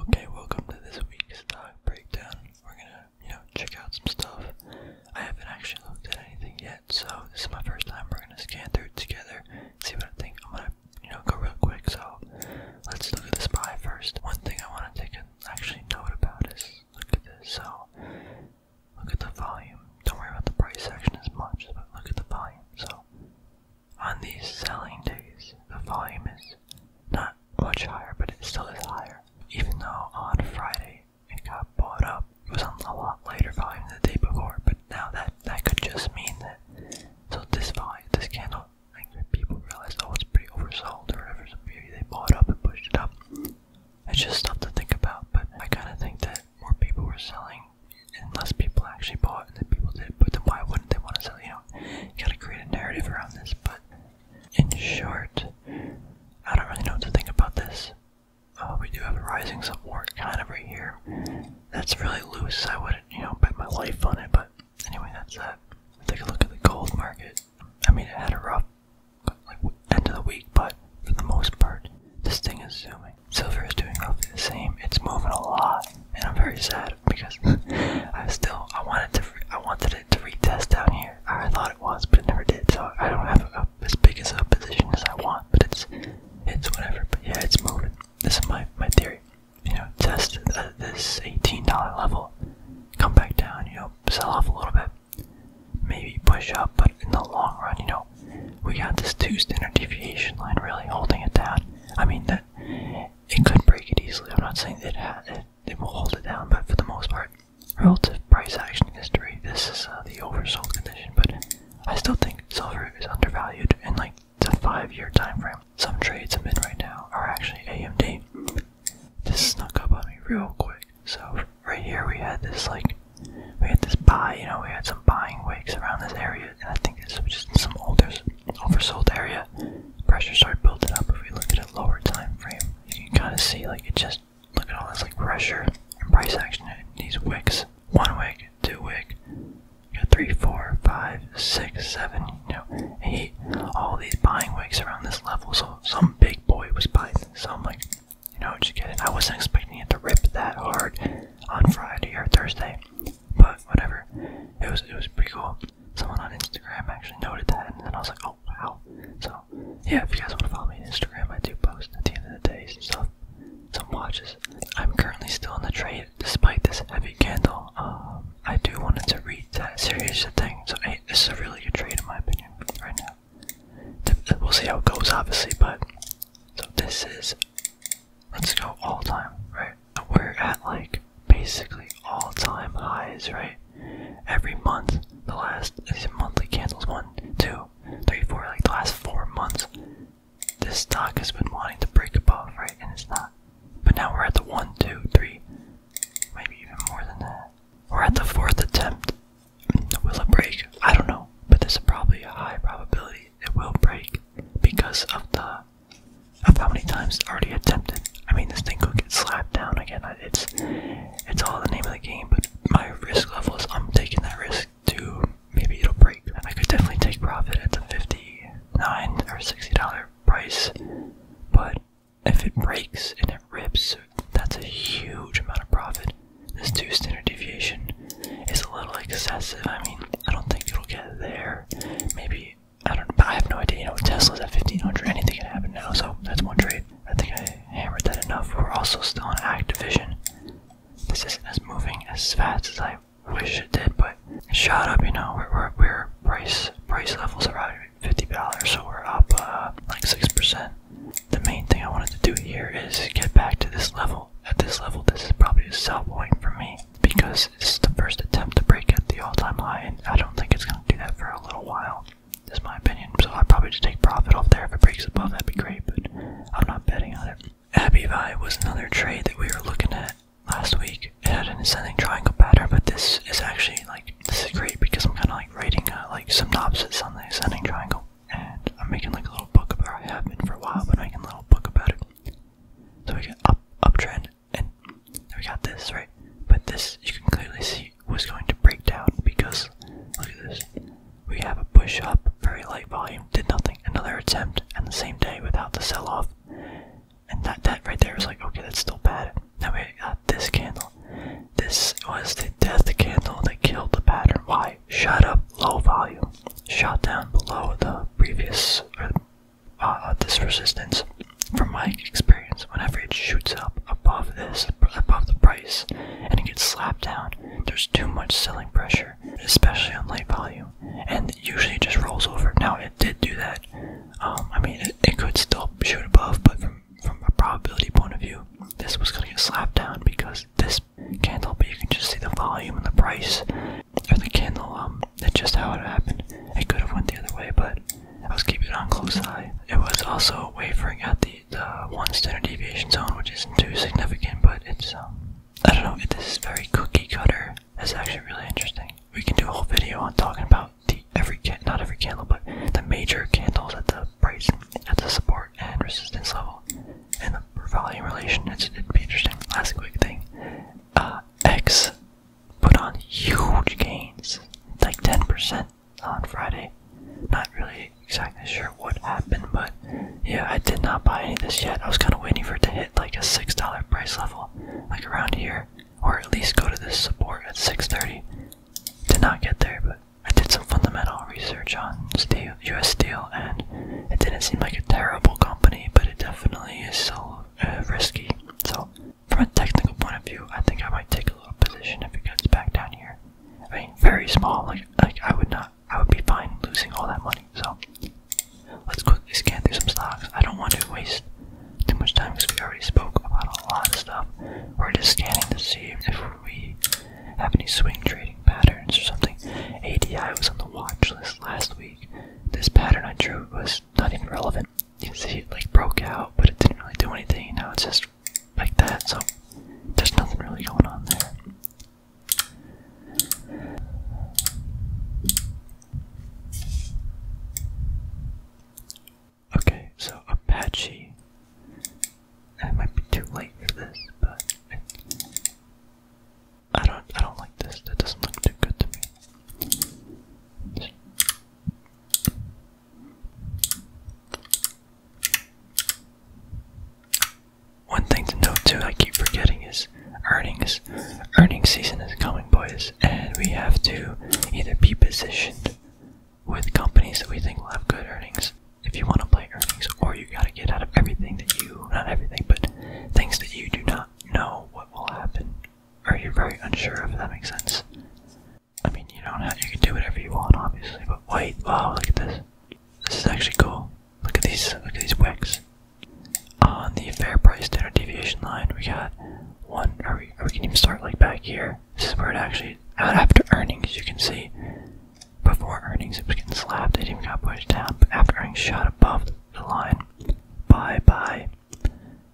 Okay, welcome to this week's stock uh, breakdown. We're gonna, you know, check out some stuff. I haven't actually looked at anything yet, so this is my first time. We're gonna scan through it together, see what I think. I'm gonna, you know, go real quick. So let's look at this buy first. One thing I want to take an actually note about is look at this. So look at the volume. Don't worry about the price action as much, but look at the volume. So on these selling days, the volume is not much higher, but it still is higher. Even though on Friday it got bought up, it was on a lot lighter volume than the day before. But now that that could just mean that so this volume, this candle, like people realized, oh, it's pretty oversold or whatever, so maybe they bought up and pushed it up. It's just stuff to think about, but I kind of think that more people were selling, and less people actually bought, and then people did. But then why wouldn't they want to sell? You know, know, you gotta create a narrative around this, but in short, I don't really know what to think about this. Uh, we do have a rising support kind of right here. That's really loose. I wouldn't, you know, bet my life on it, but anyway, that's that. Take a look at the gold market. I mean, it had a rough end of the week, but for the most part, this thing is zooming. Silver is doing roughly the same. It's moving a lot and I'm very sad because I still I wanted to I wanted it to retest down here. I thought it was, but it never did. So I don't have a, as big as a position as I want, but it's it's whatever. But yeah, it's moving. This is my my theory. You know, test uh, this $18 level, come back down. You know, sell off a little bit, maybe push up, but in the long run, you know, we got this two standard deviation line really holding it down. I mean that it could break it easily. I'm not saying it, ha it, it will hold it down, but for the most part, relative price action history, this is uh, the oversold condition. But I still think silver is undervalued in like the five-year time frame. Some trades I'm in right now are actually AMD. This snuck up on me real quick. So right here we had this like we had this buy, you know, we had some buying wakes around this area, and I think this was just some older oversold area, pressure started building up. If we look at a lower time frame, you can kind of see like it just look at all this like pressure and price action. These wicks, one wick, two wick, got three, four, five, six, seven, you know, eight. All these buying wicks around this level. So some big boy was buying some like. You know, just kidding. I wasn't expecting it to rip that hard on Friday or Thursday but whatever. It was it was pretty cool. Someone on Instagram actually noted that, and then I was like, oh wow. So yeah, if you guys want to follow me on Instagram, I do post at the end of the days and stuff, some watches. I'm currently still in the trade despite this heavy candle. Um, I do want it to read that series thing. So hey, this is a really good trade in my opinion right now. We'll see how it goes, obviously, but so this is Let's go all time, right? We're at like basically all time highs, right? Every month, the last these monthly candles one, two, three, four, like the last four months, this stock has been wanting to break above, right? And it's not. But now we're at the one, two, three, maybe even more than that. We're at the fourth attempt. Mm, will it break? I don't know, but there's probably a high probability it will break because of the of how many times already attempted. I mean, this thing could get slapped down again. It's it's all the name of the game, but my risk level is I'm taking that risk to maybe it'll break. I could definitely take profit at the fifty nine or sixty dollar price, but if it breaks and it rips, that's a huge amount of profit. This two standard deviation it's a little excessive. I mean, I don't think it'll get there. Maybe I don't. I have no idea. You know, Tesla's at 1500. Anything can happen now. So that's one trade. I think I hammered that enough. We're also still on Activision. This isn't as moving as fast as I wish it did, but it shot up. You know, we're we're, price price levels around fifty dollars, so we're up uh, like six percent. The main thing I wanted to do here is get back to this level at this level, this is probably a sell point for me because this is the first attempt to break at the all-time high, and I don't think it's going to do that for a little while. Is my opinion. So i probably just take profit off there. If it breaks above, that'd be great. But I'm not betting on it. Abbey was another trade that we were looking at last week. It had an ascending triangle pattern, but this is actually like this is great because I'm kind of like writing uh, like synopsis on the ascending triangle and I'm making like a little book about it. I have been for a while, but making a little book about it. So we get up uptrend, and we got this right. But this you can clearly see was going to break down because look at this. We have a push up, very light volume, did nothing. Another attempt, and the same day without the sell off. And that that right there was like okay, that's still bad. Now we got this candle. This was the death candle that killed the pattern. Why? shut up low volume, shot down below the previous uh, this resistance. From my experience, whenever it shoots up above this, above the price, and it gets slapped down, there's too much selling pressure, especially on light volume, and usually it just rolls over. Now it did do that. Um, I mean, it, it could still shoot above, but from from a probability point of view, this was going to get slapped down because this candle, but you can just see the volume and the price of the candle. Um, that's just how it happened. It could have went the other way, but I was keeping it on close eye. It was also wavering at the, the one standard deviation zone, which isn't too significant, but it's um, I don't know. It, this is very cookie cutter. It's actually really interesting. We can do a whole video on talking about the every candle, not every candle, but the major candles at the price at the support and resistance level and the volume relation. It's, it'd be interesting. Last quick thing. Uh, X put on huge gains, like 10% on Friday. Not really exactly sure what happened, but yeah, I did not buy any of this yet. I was kind of waiting for it to hit like a $6 price level, like around here, or at least go to this support at 630. Did not get there, but I did some fundamental research on U.S. Steel, and it didn't seem like a terrible company, but it definitely is so uh, risky. So, from a technical point of view, I think I might take a little position if it gets back down here. I mean, very small. Like, like I would not. I would be fine losing all that money. So, let's quickly scan through some stocks. I don't want to waste too much time because we already spoke about a lot of stuff. We're just scanning to see if whether we have any swing trading patterns or something. ADI was on the watch list last week. This pattern I drew was not even relevant. You see it like broke out, but it didn't really do anything. Now it's just like that, so there's nothing really going on there. Okay, so Apache I might be too late for this, but I don't I don't like this. That doesn't look too good to me. One thing to note too, I keep forgetting is earnings. Earnings season is coming, boys, and we have to either be positioned with companies that we think will have good earnings if you want to play earnings, or you gotta get out of everything that you, not everything, but things that you do not know what will happen, or you're very unsure if that makes sense. I mean, you know not you can do whatever you want, obviously, but wait, wow, look at this. This is actually cool. Look at these, look at these wicks. On the fair price standard deviation line, we got one, or we, or we can even start like back here. This is where it actually, out after earnings, you can see before earnings, it was getting slapped. It even got pushed down. But after earnings, shot above the line. Buy, buy.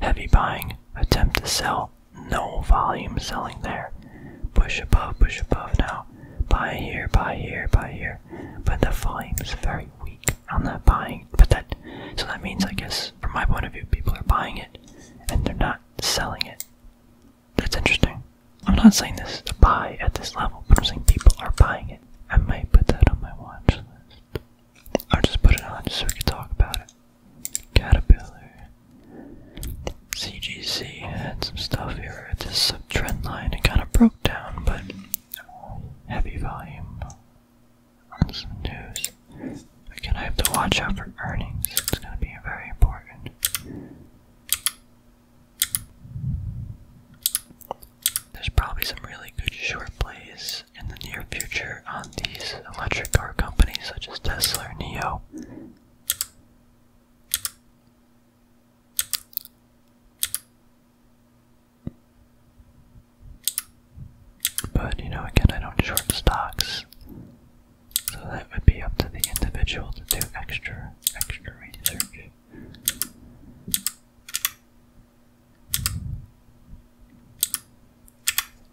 Heavy buying. Attempt to sell. No volume selling there. Push above, push above now. Buy here, buy here, buy here. But the volume is very weak on that buying. But that, so that means, I guess, from my point of view, people are buying it and they're not selling it. That's interesting. I'm not saying this is a buy at this level, but I'm saying people are buying it. I might put that on my watch I'll just put it on just so we can talk about it. Caterpillar. CGC had some stuff here at this subtrend line. It kind of broke down, but heavy volume on some news. Again, I have to watch out for earnings. It's going to be very important. There's probably some really good short plays in the near future on these electric car companies such as Tesla or Neo. But you know, again, I don't short stocks. So that would be up to the individual to do extra, extra research.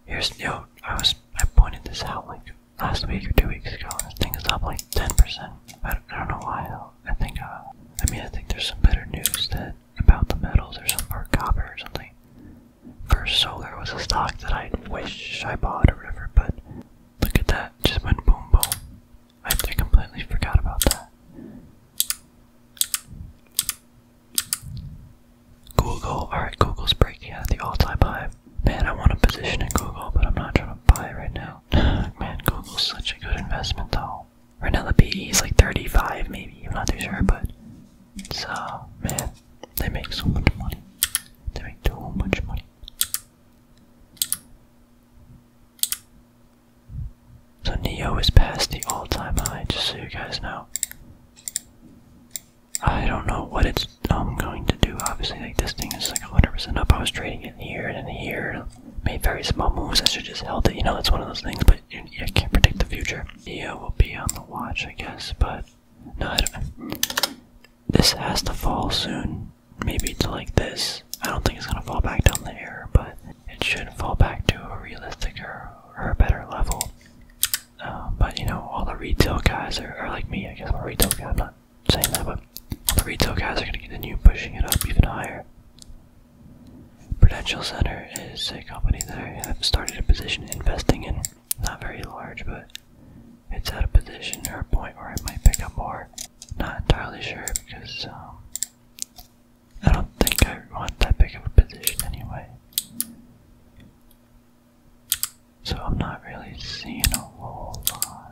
Here's yo, I was I pointed this out like last week or two weeks ago. This thing is up like ten percent. I don't, know why. I think uh, I mean I think there's some better news that about the metals or some or copper or something. First Solar was a stock that I wish I bought a river, but look at that, just went boom boom. I, I completely forgot about that. Google, alright, Google's breaking out at the all-time high. Man, I want to position in Google, but I'm not trying to buy it right now. Man, Google's such a good investment though. Right now is like 35 maybe, I'm not too sure, but so uh, man, they make so much money. They make a money. So Neo is past the all-time high, just so you guys know. I don't know what it's um, going to do, obviously, like this thing is like 100% up, I was trading it here and here, made very small moves, I should just held it, you know, it's one of those things, but you, you can't predict the future. Neo will be on the watch, I guess, but no, I don't this has to fall soon, maybe to like this. I don't think it's gonna fall back down there, but it should fall back to a realistic or, a better level. Uh, but you know, all the retail guys are, are like me, I guess I'm a retail guy, I'm not saying that, but all the retail guys are gonna continue pushing it up even higher. Prudential Center is a company that I have started a position investing in. Not very large, but it's at a position or a point where I might pick up more. Not entirely sure because um, I don't think I want that big of a position anyway. So I'm not really seeing a whole lot.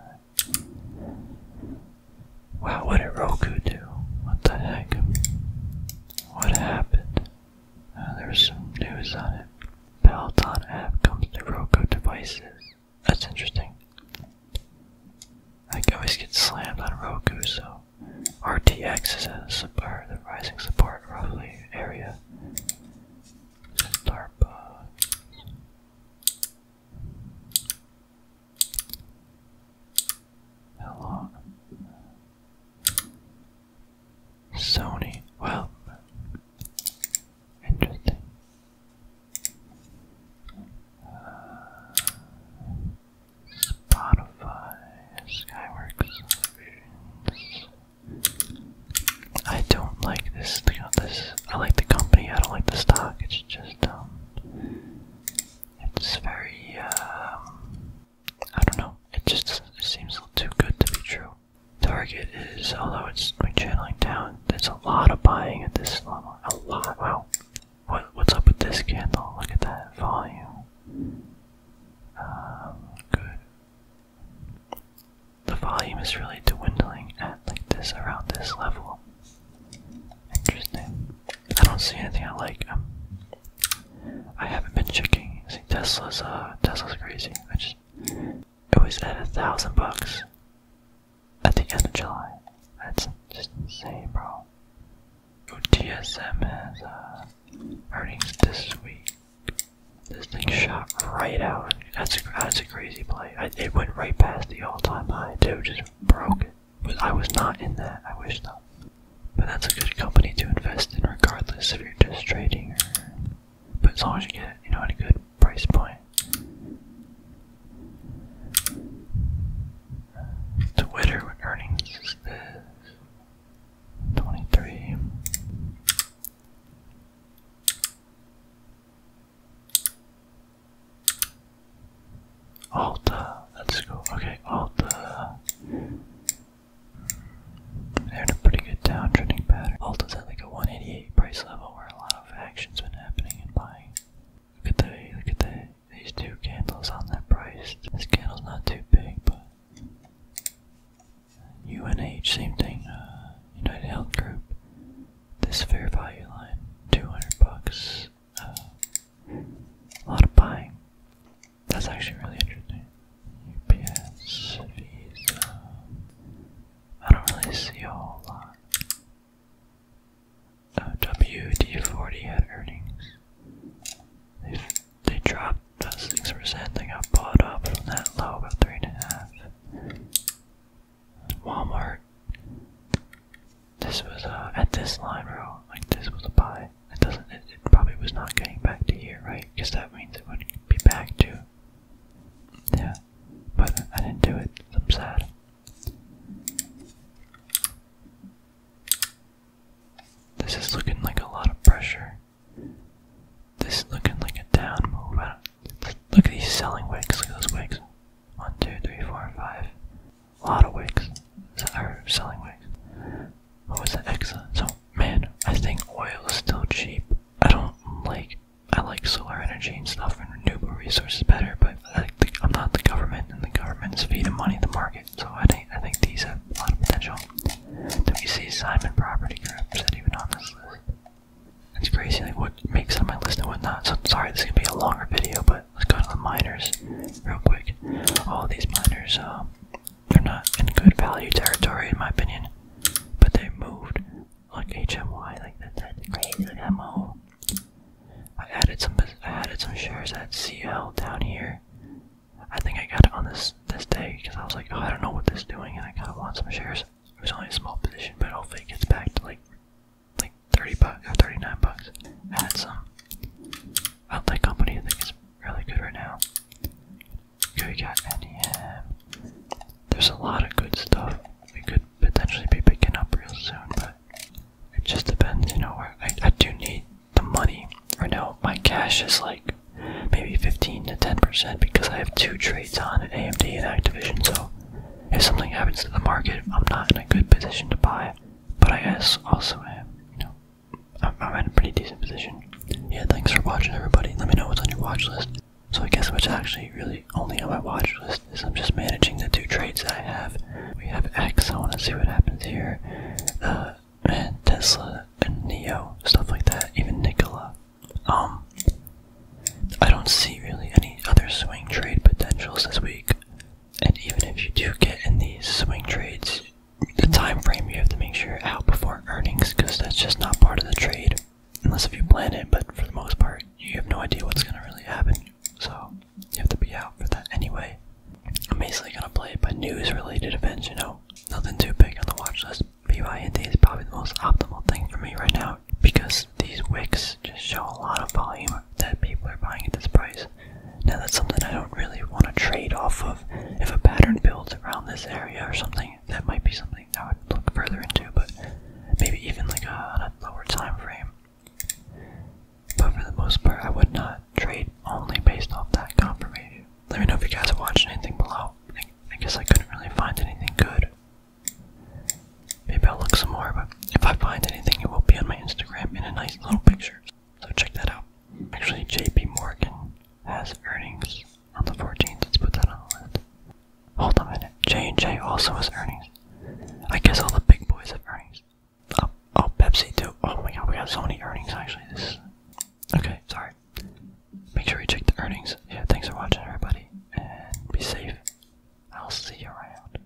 Wow, what a Roku do? What the heck? What happened? Uh, There's some news on it. Peloton app comes to Roku devices. That's interesting. I always get slammed on Roku, so RTX is a sub rising support roughly area. How long? Sony. Well, interesting. Spotify, Skyworks, I don't like this. This I like the company. I don't like the stock. It's just um, it's very um, I don't know. It just seems a little too good to be true. Target is, although it's like channeling down, there's a lot of buying at this level. A lot. Wow. What what's up with this candle? Look at that volume. Um, good. The volume is really dwindling at like this around this level. Interesting. I don't see anything I like. Um, I haven't been checking. See, Tesla's uh, Tesla's crazy. I just, it was at a thousand bucks at the end of July. That's just insane, bro. TSM has uh, earnings this week. This thing shot right out. That's a that's a crazy play. it went right past the all-time high too. Just broke I was not in that. I wish not. But that's a good company to invest in regardless if you're just trading but as long as you get it, you know, at a good price point. Twitter earnings is 23. Alta, let's go. Okay, Alta. They had a pretty good downtrending pattern. Alt is at like a 188 price level where a lot of action's been happening and buying. Look at the look at the these two candles on that price. This candle's not too big, but UNH, same thing. Uh, United Health Group. This fair value line, 200 bucks. Uh, a lot of buying. That's actually really interesting. UPS, Visa. I don't really see a whole lot. WD40 had earnings. they they dropped about 6%. They got bought up from that low, about 3.5. Walmart. This was uh, at this line, bro. Like, this was a buy it doesn't it, probably was not getting back to here, right? Because that means it would be back to Yeah. But I didn't do it. I'm sad. This is looking like a lot of pressure. This is looking like a down move. I don't, look at these selling wicks. Look at those wicks. One, two, three, four, five. A lot of wicks. Are selling wicks. What was the Exa? So, man, I think oil is still cheap. I don't like. I like solar energy and stuff and renewable resources better, but I think I'm not the government, and the government's feeding money to the market, so I think I think these have a lot of potential. WC Simon Property Group is that even on this list? It's crazy, like what makes it on my list and what not. So sorry, this is gonna be a longer video, but let's go to the miners real quick. All these miners, um, they're not in good value territory, in my opinion. But they moved. Like HMY, like that's crazy. Look at I added some. I added some shares at CL down here. I think I got it on this this day because I was like, oh, I don't know what this doing, and I kind of want some shares. It was only a small position, but hopefully it gets back to like like 30 bucks or 39 bucks. Add some. I like company. I think it's really good right now. we got NEM. There's a lot of good stuff we could potentially be picking up real soon, but it just depends, you know, where I, I do need the money. Right now, my cash is like maybe 15 to 10% because I have two trades on AMD and Activision, so if something happens to the market, I'm not in a good position to buy. But I guess also am, you know, I'm, in a pretty decent position. Yeah, thanks for watching, everybody. Let me know what's on your watch list. So I guess what's actually really only on my watch list is I'm just managing the two trades that I have. We have X. I want to see what happens here. Uh, Tesla and Neo, stuff like that. Even Nikola. Um, I don't see really any other swing trade potentials this week. And even if you do get in these swing trades, the time frame you have to make sure you're out before earnings because that's just not part of the trade. Unless if you plan it, but for the most part, you have no idea what's gonna really happen. So you have to be out for that anyway. I'm basically gonna play by news related events, you know. Nothing too big on the watch list. BYND is probably the most optimal thing for me right now because these wicks just show a lot of volume that people are buying at this price. Now that's something I don't really want to trade off of. If a pattern builds around this area or something, that might be something I would look further into, but maybe even like a, on a lower time frame. But for the most part, I would not trade only based off that confirmation. Let me know if you guys have watched anything below. I guess I couldn't really find anything good. Maybe I'll look some more, but if I find anything, it will be on my Instagram in a nice little picture. So check that out. Actually, JP Morgan has earnings on the 14th. Let's put that on the list. Hold on a minute. J&J also has earnings. I guess all the big boys have earnings. Oh, oh, Pepsi too. Oh my god, we got so many earnings actually. This is... Okay, sorry. Make sure you check the earnings. Yeah, thanks for watching everybody. And be safe. I'll see you around.